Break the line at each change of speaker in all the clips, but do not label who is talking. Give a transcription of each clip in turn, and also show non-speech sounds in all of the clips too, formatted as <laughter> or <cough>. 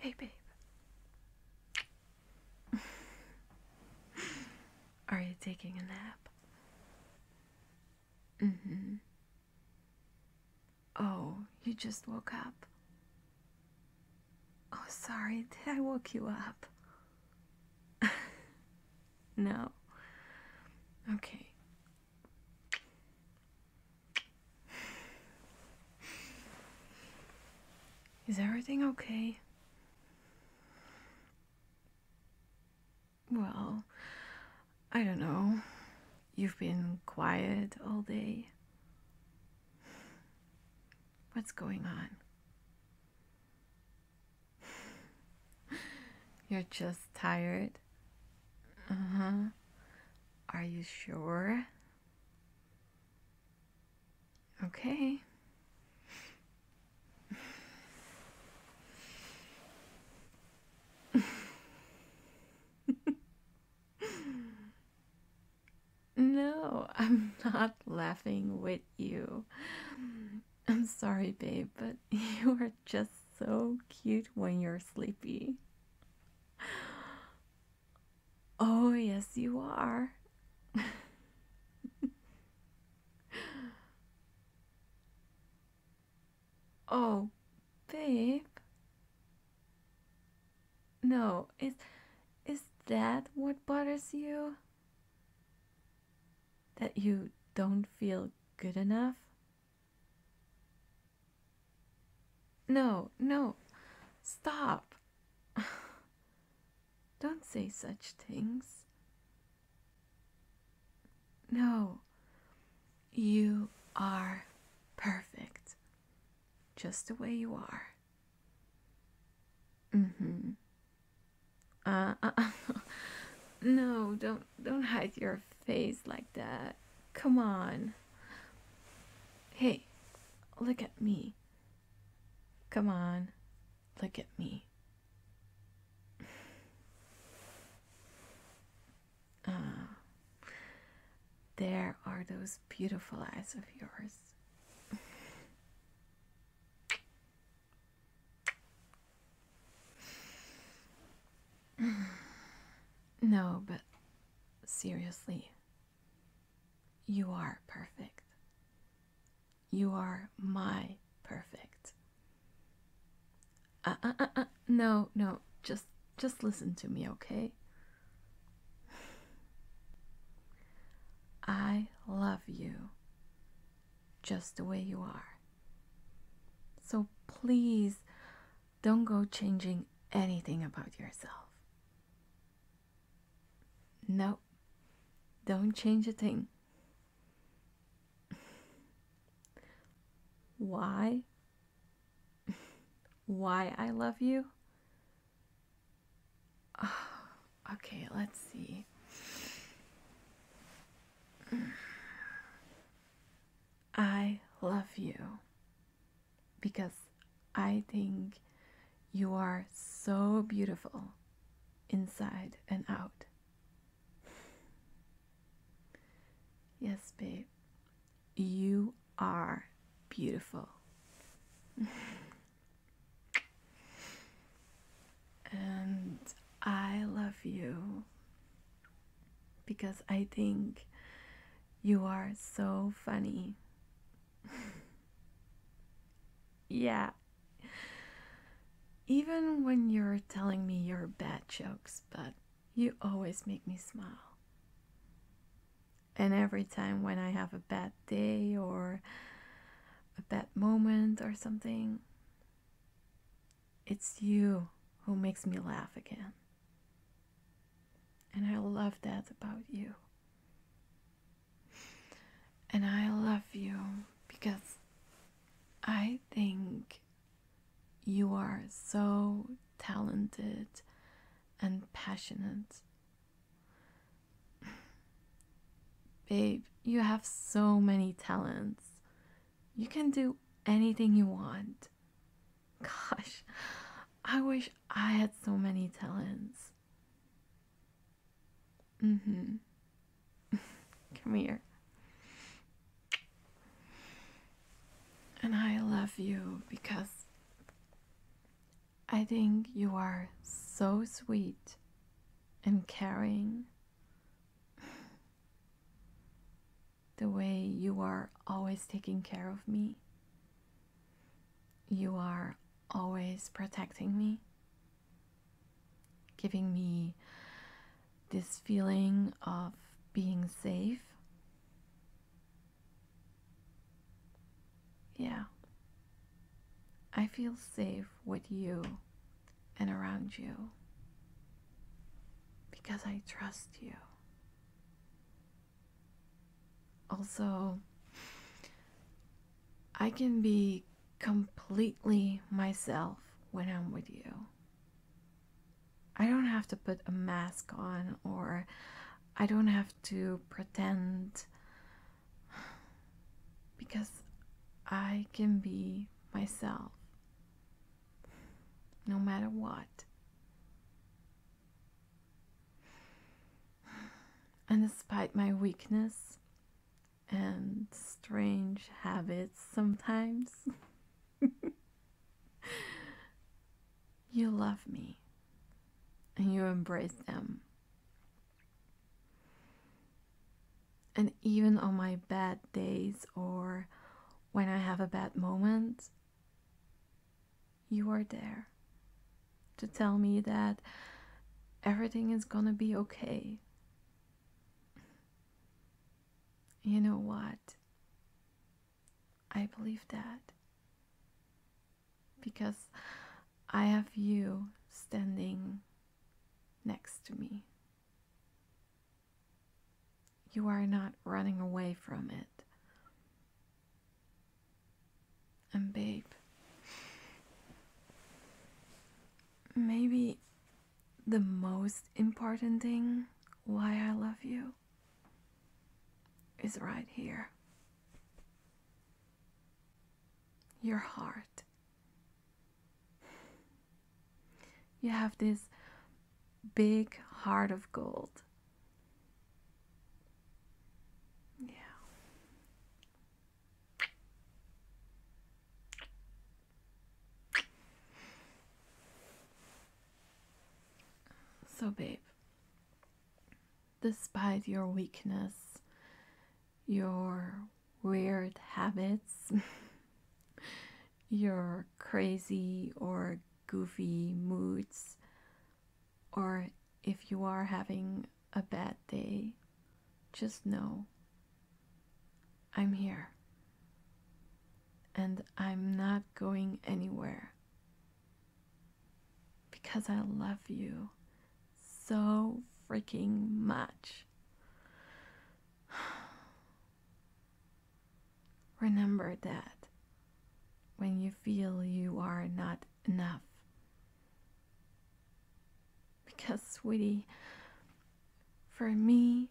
Hey, babe. <laughs> Are you taking a nap? Mm hmm. Oh, you just woke up. Oh, sorry, <laughs> did I wake you up? <laughs> no. Okay. Is everything okay? Well, I don't know. You've been quiet all day. What's going on? <laughs> You're just tired? Uh huh. Are you sure? Okay no, I'm not laughing with you. I'm sorry, babe, but <laughs> you are just so cute when you're sleepy. Oh, yes, you are. <laughs> Oh, babe. No, is is that what bothers you? That you don't feel good enough? No, no. Stop. <laughs> don't say such things. No, you are perfect just the way you are. Mm-hmm. Uh, uh, <laughs> no, don't don't hide your face like that. Come on. Hey, look at me. Come on, look at me. <sighs> Ah, there are those beautiful eyes of yours. <sighs> No, but seriously, you are perfect. You are my perfect. Uh, uh, uh, no, no, just just listen to me, okay? I love you just the way you are. So please don't go changing anything about yourself. No, don't change a thing. Why? Why I love you? <sighs> okay, let's see. I love you because I think you are so beautiful inside and out. Yes, babe. You are beautiful. <laughs> and I love you because I think you are so funny. <laughs> yeah. Even when you're telling me your bad jokes, but you always make me smile. And every time when I have a bad day or a bad moment or something, it's you who makes me laugh again. And I love that about you. And I love you because I think you are so talented and passionate. Babe, you have so many talents. You can do anything you want. Gosh, I wish I had so many talents. Mm hmm. <laughs> Come here. And I love you because I think you are so sweet and caring. The way you are always taking care of me, you are always protecting me giving me this feeling of being safe. Yeah. I feel safe with you and around you because I trust you. Also, I can be completely myself when I'm with you. I don't have to put a mask on or I don't have to pretend because I can be myself no matter what. And despite my weakness, and strange habits sometimes. <laughs> you love me and you embrace them. And even on my bad days or when I have a bad moment, you are there to tell me that everything is gonna be okay. You know what? I believe that because I have you standing next to me. You are not running away from it. And babe, maybe the most important thing why I love you is right here. Your heart. You have this big heart of gold. Yeah. So, babe, despite your weakness, your weird habits, <laughs> your crazy or goofy moods, or if you are having a bad day, just know I'm here and I'm not going anywhere because I love you so freaking much. <sighs> Remember that when you feel you are not enough. Because, sweetie, for me,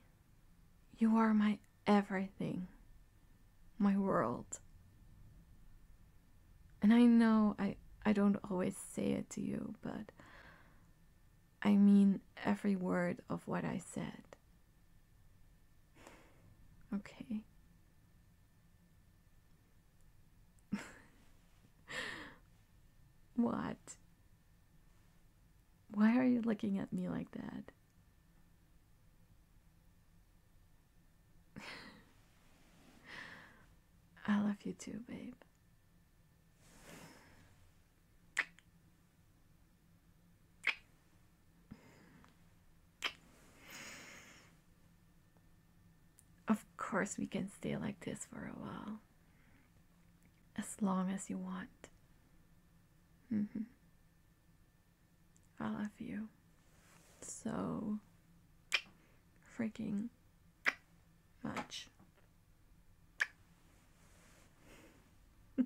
you are my everything, my world. And I know I, I don't always say it to you, but I mean every word of what I said. Okay. <laughs> what? Why are you looking at me like that? <laughs> I love you too, babe. Of course, we can stay like this for a while. As long as you want. Mm-hmm. I love you. So freaking much. <laughs>